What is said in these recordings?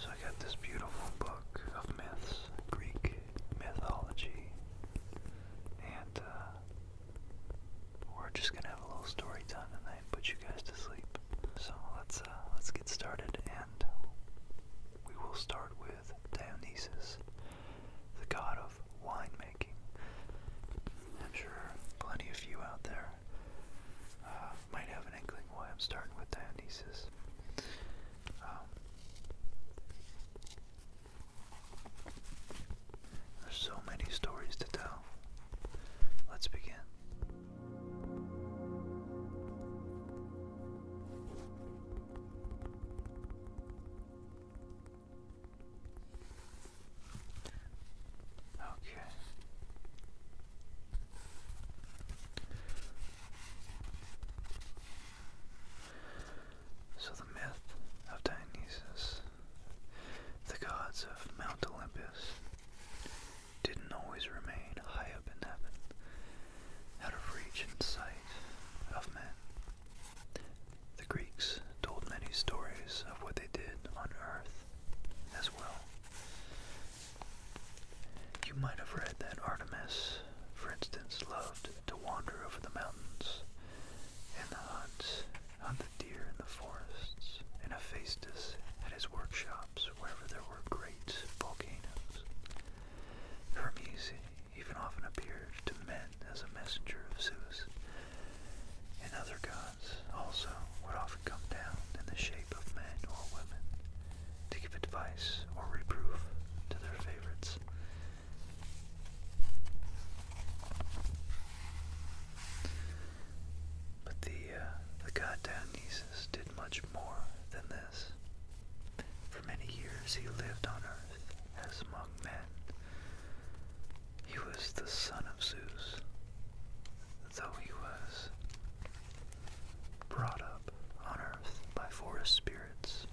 So I got this beautiful book of myths, Greek mythology, and uh, we're just gonna have a little story time tonight, put you guys to sleep. So let's uh, let's get started, and we will start with Dionysus, the god of winemaking. I'm sure plenty of you out there uh, might have an inkling why I'm starting with Dionysus. Um, there's so many stories to tell. Let's begin. Okay. So the myth of Dionysus, the gods of Mount Olympus, didn't always remain high up in heaven, out of reach and sight of men. The Greeks told many stories of what they did on earth as well. You might have read that Artemis, for instance, loved to wander over the mountains and the hunt, hunt the deer in the forests, and Hephaestus at his workshops wherever there were great volcanoes. Hermes even often appeared to men as a messenger of Zeus, and other gods also would often come down in the shape of men or women to give advice or reproof to their favorites. But the, uh, the god Dionysus did much more than this. For many years he lived on earth as among men, he was the son of Zeus, though he was brought up on earth by forest spirits.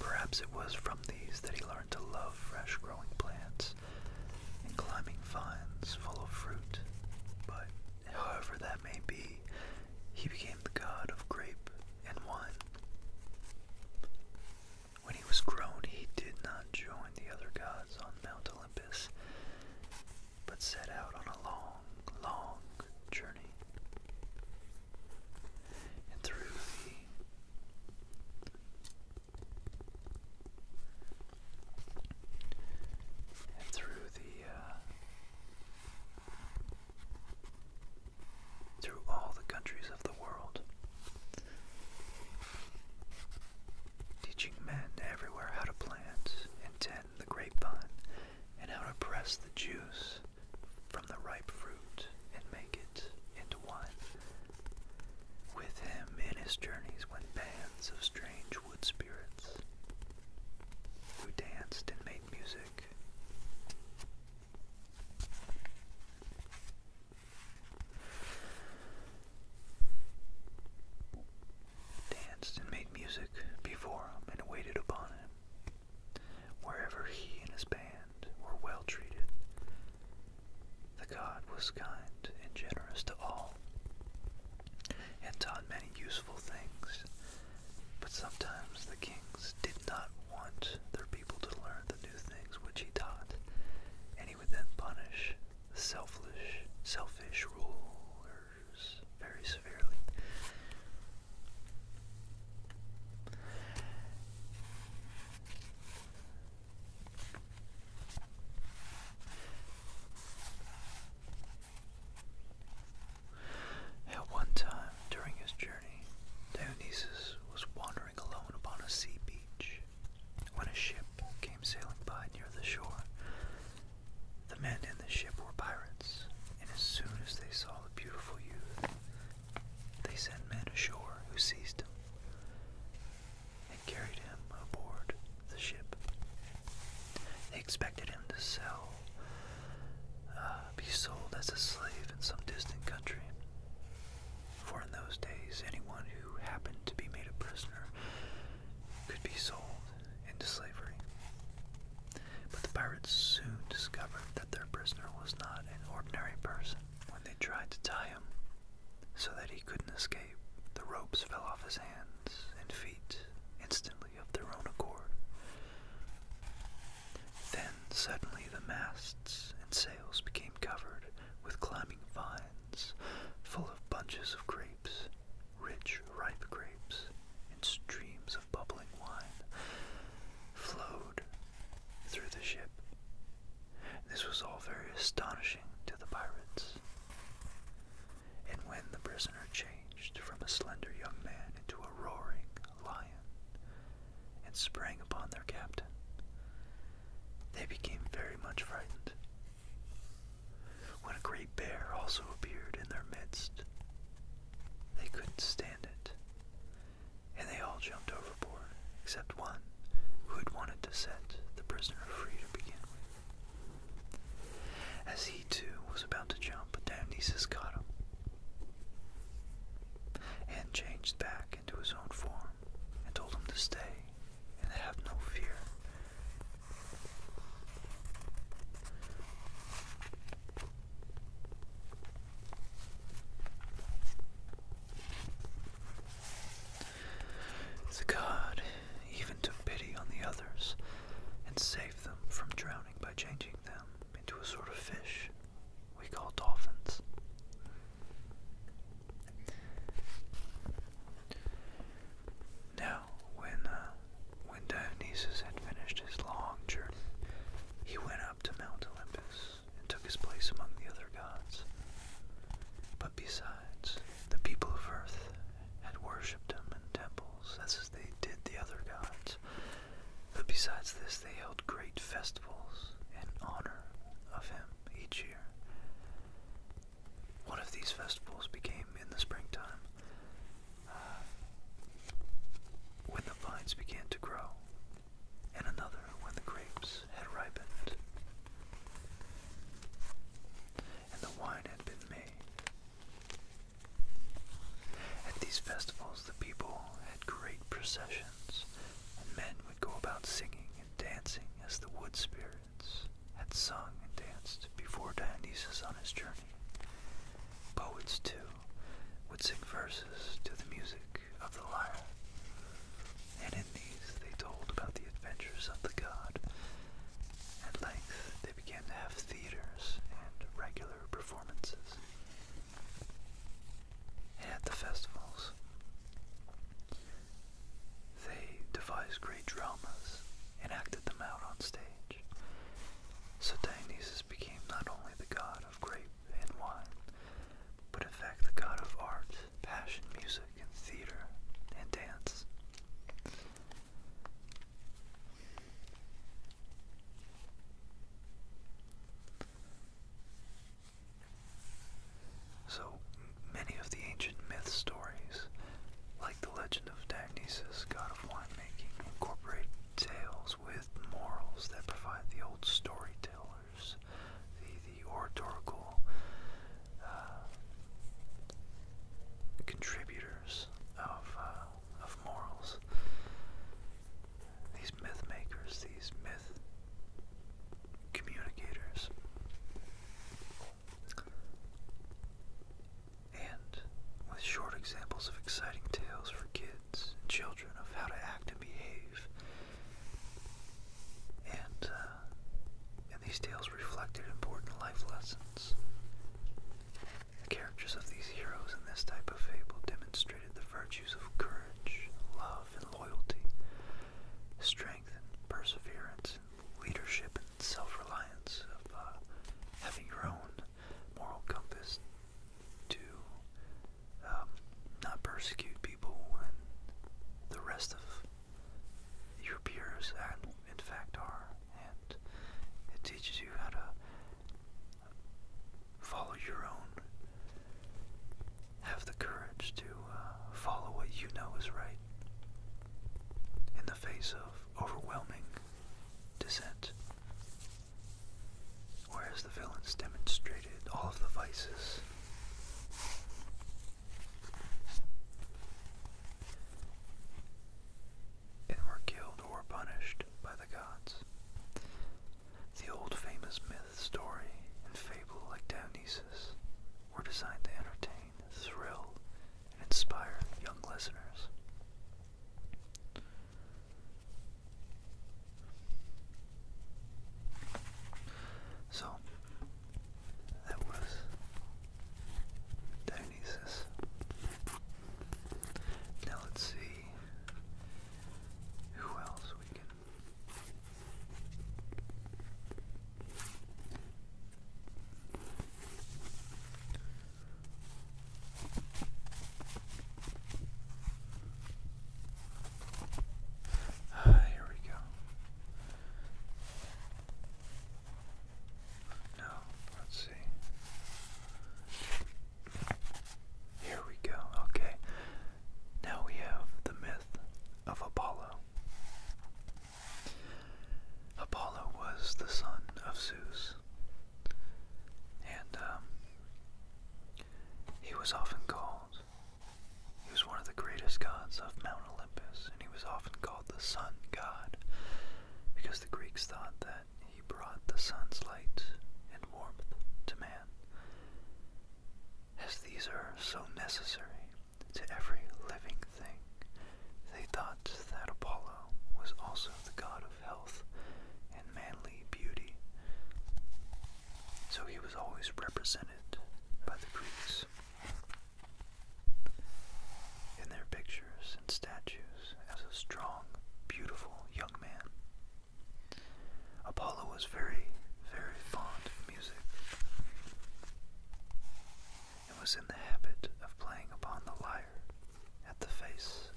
Perhaps it was from these that he learned to love fresh growing plants and climbing vines full of fruit. But however that may be, he became the god of grape and wine. When he was grown, he did not join the other gods on Mount Olympus, but set out on a long, long journey. And through the and through the uh, through all the countries of the world, Teaching men everywhere how to plant and tend the grapevine, and how to press the juice from the ripe fruit and make it into wine. With him in his journeys went bands of strange wood spirits who danced and made music danced and made music before him and waited upon him. Wherever he and his band were well treated, the god was kind and generous to all, and taught many useful things. But sometimes the kings did not want their people to learn the new things which he taught, and he would then punish selfish, selfish rulers very severely. At one time during his journey, Dionysus was wandering alone upon a sea beach when a ship came sailing by near the shore. The men in the ship were pirates, and as soon as they saw the beautiful youth, they sent men ashore who seized him and carried him aboard the ship. They expected him to sell, uh, be sold as a slave in some distant country for in those days anyone who happened to be made a prisoner could be sold into slavery. But the pirates soon discovered that their prisoner was not an ordinary person. When they tried to tie him so that he couldn't escape, the ropes fell off his hands and feet instantly of their own accord. Then suddenly the masts and sails became covered with climbing vines full of bunches of grapes, rich ripe grapes, and streams of bubbling wine flowed through the ship. This was all very astonishing to the pirates. And when the prisoner changed from a slender young man into a roaring lion and sprang upon their captain, they became very much frightened. When a great bear also appeared in their midst, they couldn't stand it, and they all jumped overboard except one who had wanted to set the prisoner free to begin with. As he too was about to jump, Dionysus caught him and changed back into his own form. I told him to stay and have no fear. The god even took pity on the others and saved them from drowning by changing them into a sort of fish we call dolphins. Now, when uh, when Dionysus had finished his long journey, he went up to Mount Olympus and took his place among the other gods. But besides, the people of earth had worshipped him in temples, as they did the other gods. But besides this, they held great festivals in honor of him each year. One of these festivals became in the springtime uh, when the vines began to grow, and another when the grapes had ripened and the wine had been made. At these festivals, the people had great processions, and men would go about singing and dancing as the wood spirits had sung and danced before Dionysus on his journey. Poets, too, would sing verses to the music of the lyre, and in these they told about the adventures of the god. At length they began to have theaters and regular performances. And at the festivals, they devised great dramas and acted them out on stage. So Dionysus became not only the god of grape and wine, but in fact the god of art, passion, music, and theater, and dance. So many of the ancient myth stories, like the legend of Dionysus, god of winemaking, incorporate tales with morals that provide the old storytellers, the, the oratorical uh, contributors of, uh, of morals. These myth makers, these myth communicators. And with short examples of exciting tales for kids and children of how to act and behave. And, uh, and these tales reflected important life lessons. The characters of these heroes in this type of fable demonstrated the virtues of courage, love, and loyalty, strength, and perseverance leadership and self-reliance of uh, having your own moral compass to um, not persecute people and the rest of your peers and in fact are and it teaches you how to follow your own have the courage to uh, follow what you know is right in the face of overwhelming dissent. Whereas the villains demonstrated all the vices. And were killed or punished by the gods. The old famous myth myth, story, and fable like Dionysus were designed to entertain, thrill, and inspire young listeners. So, that was Dionysus. Now let's see who else we can Ah, here we go. No, let's see. Here we go. Okay. Now we have the myth of Apollo. Apollo was the son of Zeus, and um, he was often called, he was one of the greatest gods of Mount Olympus, and he was often called the sun god because the Greeks thought that he brought the sun's light and warmth to man as these are so necessary to every living thing, they thought that Apollo was also the god of health and manly beauty. So he was always represented by the Greeks in their pictures and statues as a strong, beautiful young man. Apollo was very, very fond music, and was in the habit of playing upon the lyre at the feasts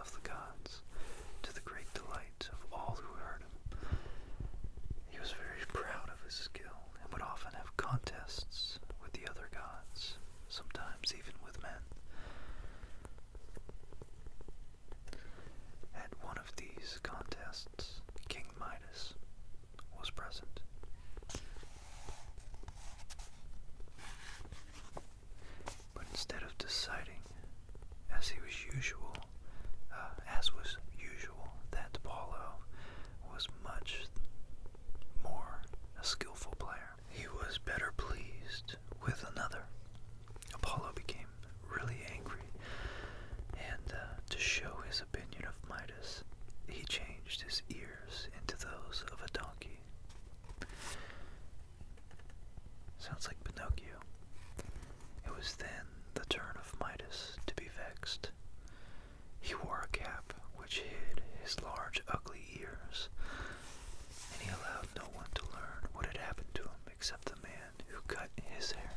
of the gods, to the great delight of all who heard him. He was very proud of his skill, and would often have contests with the other gods, sometimes even with men. At one of these contests, King Midas was present. But instead of deciding, as he was usual, uh, as was usual, that Paulo was much more a skillful player, he was better pleased with another Apollo became really angry, and uh, to show his opinion of Midas, he changed his ears into those of a donkey. Sounds like Pinocchio. It was then the turn of Midas to be vexed. He wore a cap which hid his large, ugly ears, and he allowed no one to learn what had happened to him except the man who cut his hair.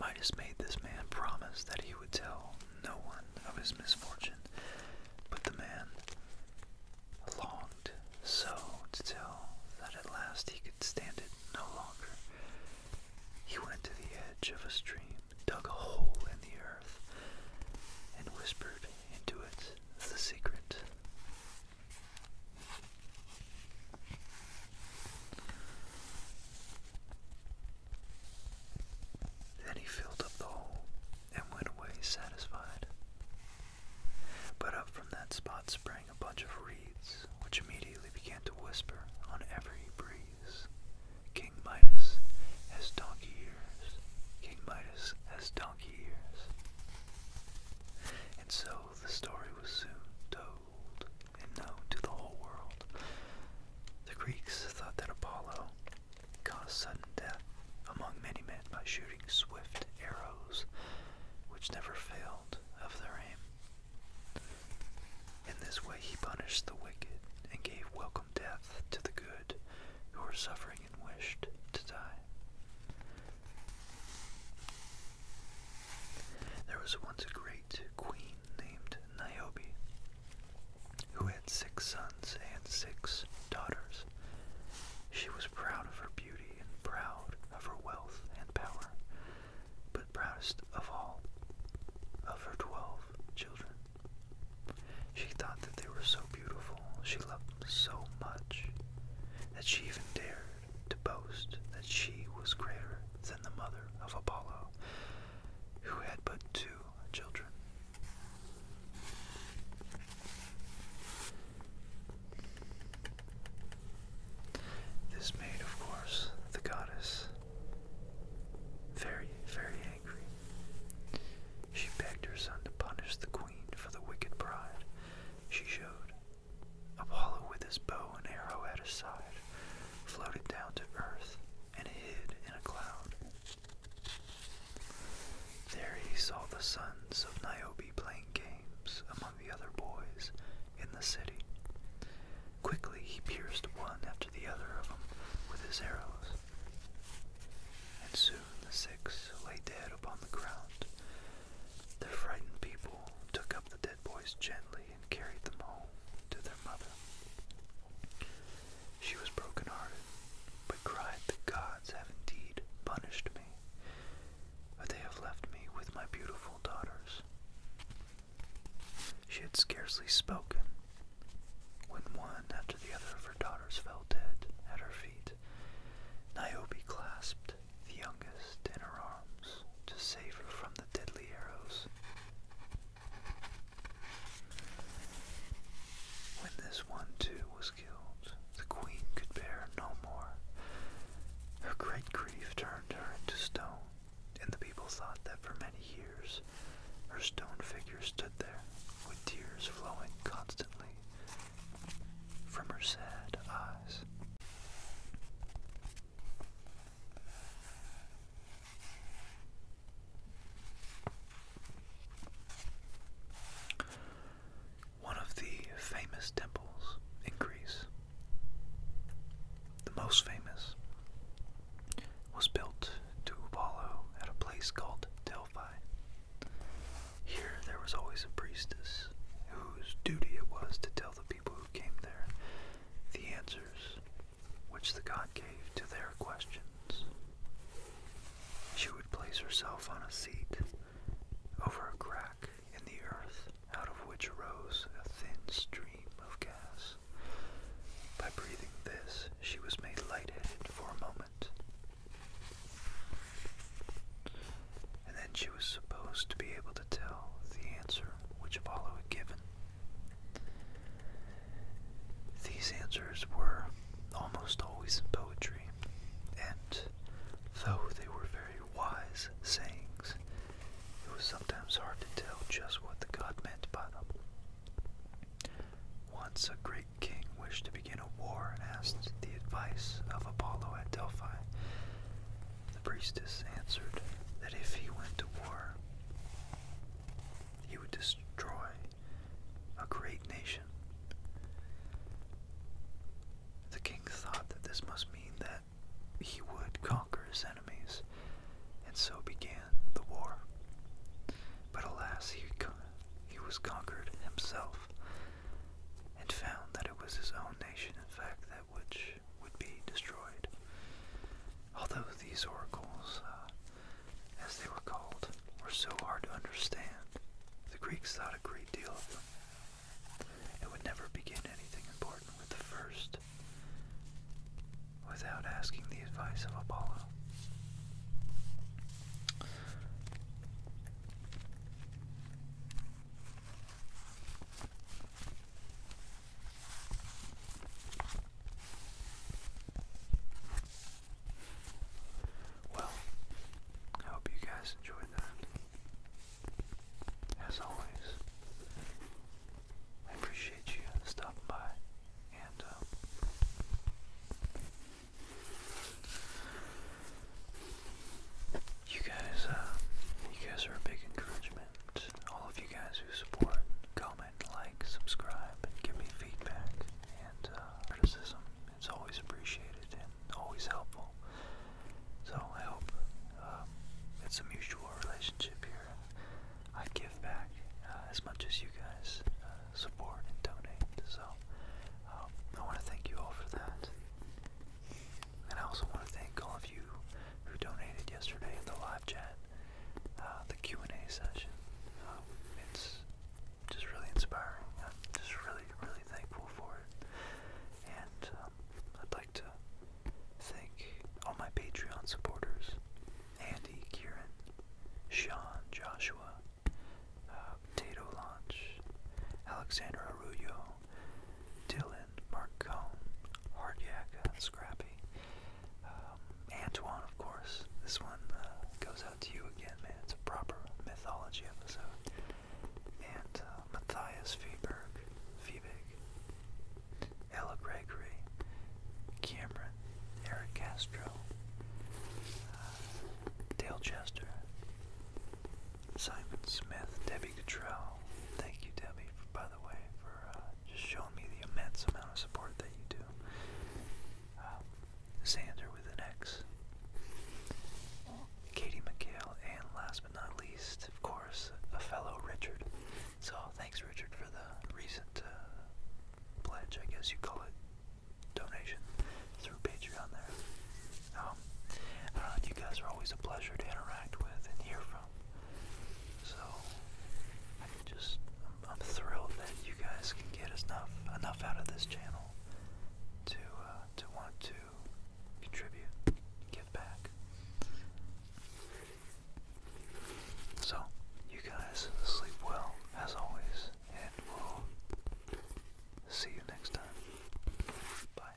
Midas made this man promise that he would tell no one of his misfortune, but the man longed so to tell that at last he could stand it no longer. He went to the edge of a stream, dug a hole in the earth, and whispered into it the secret then he filled up the hole and went away satisfied. But up from that spot sprang a bunch of reeds, which immediately began to whisper on every breeze. King Midas has donkey ears. King Midas has donkey and so the story was soon told and known to the whole world. The Greeks thought that Apollo caused sudden death among many men by shooting swift arrows which never failed of their aim. In this way he punished the wicked and gave welcome death to the good who were suffering wished to die. There was once a great queen named Niobe, who had six sons and six daughters. She was proud of her beauty and proud of her wealth and power, but proudest of all of her twelve children. She thought that they were so beautiful she loved so much that she even dared to boast that she was greater than the mother of Apollo, who had but two children. This made, of course, the goddess very, very angry. She begged her son to punish the queen for the wicked bride she showed. Apollo, with his bow and arrow at his side, floated down to earth and hid in a cloud. There he saw the sons of Niobe playing games among the other boys in the city. Quickly he pierced one after the other of them with his arrows, and soon the six lay dead upon the ground. The frightened people took up the dead boys gently and carried them home to their mother. She was broken-hearted, but cried, The gods have indeed punished me, but they have left me with my beautiful daughters. She had scarcely spoken when one after the other of her daughters fell dead at her feet. Niobe clasped the youngest in her arms to save her from the deadly arrows. When this one too was killed, the queen could bear no more. Her great grief turned her into stone, and the people thought that for many years her stone figure stood there with tears flowing constantly from her sad eyes. One of the famous temples in Greece, the most famous, was built to Apollo at a place called Delphi. Here there was always a priestess whose duty it was to tell the people who came there the answers which the god gave to their questions. She would place herself on a seat over a crack in the earth out of which arose a thin stream of gas. By breathing this, she was made lightheaded for a moment. And then she was supposed to be able to tell the answer which Apollo had given. These answers were almost always in poetry, and though they were very wise sayings, it was sometimes hard to tell just what the god meant by them. Once a great the king wished to begin a war and asked the advice of Apollo at Delphi. The priestess answered that if he went to war, he would destroy a great nation. The king thought that this must mean that he would conquer his enemies, and so began the war. But alas, he, he was conquered himself and found that it was his own nation, in fact, that which would be destroyed. Although these oracles, uh, as they were called, were so hard to understand, the Greeks thought a great deal of them. And would never begin anything important with the first without asking the advice of Apollo. Well, I hope you guys enjoyed that. As always, I appreciate you stopping by and um, you guys, uh, you guys are a big encouragement. All of you guys who support, comment, like, subscribe, and give me feedback and uh, criticism. It's always appreciated and always helpful. So I hope um, it's a mutual relationship here. I give back uh, as much as you guys support and donate. So um, I want to thank you all for that. And I also want to thank all of you who donated yesterday in the live chat, uh, the Q&A session. Um, it's just really inspiring. I'm just really, really thankful for it. And um, I'd like to thank all my Patreon supporters Andy, Kieran, Sean, Joshua, uh, Tato Launch, Alexander Arroyo, Dylan, Marcone, Hardyak, uh, Scrappy, um, Antoine, of course. This one uh, goes out to you again, man. It's a proper mythology episode. And Matthias Feeberg, Feebig, Ella Gregory, Cameron, Eric Castro, Dale Chester, Simon Smith, Debbie Cottrell. Thank you, Debbie, for, by the way, for uh, just showing me the immense amount of support that you do. Um, Xander with an X. Katie McHale, and last but not least, of course, a fellow Richard. So thanks, Richard, for the recent uh, pledge, I guess you call it, donation through Patreon there. Um, I don't know, you guys are always a pleasure to interact with and hear from. So, I just, I'm, thrilled that you guys can get enough, enough out of this channel to, uh, to want to contribute, give back. So, you guys sleep well, as always and we'll see you next time. Bye.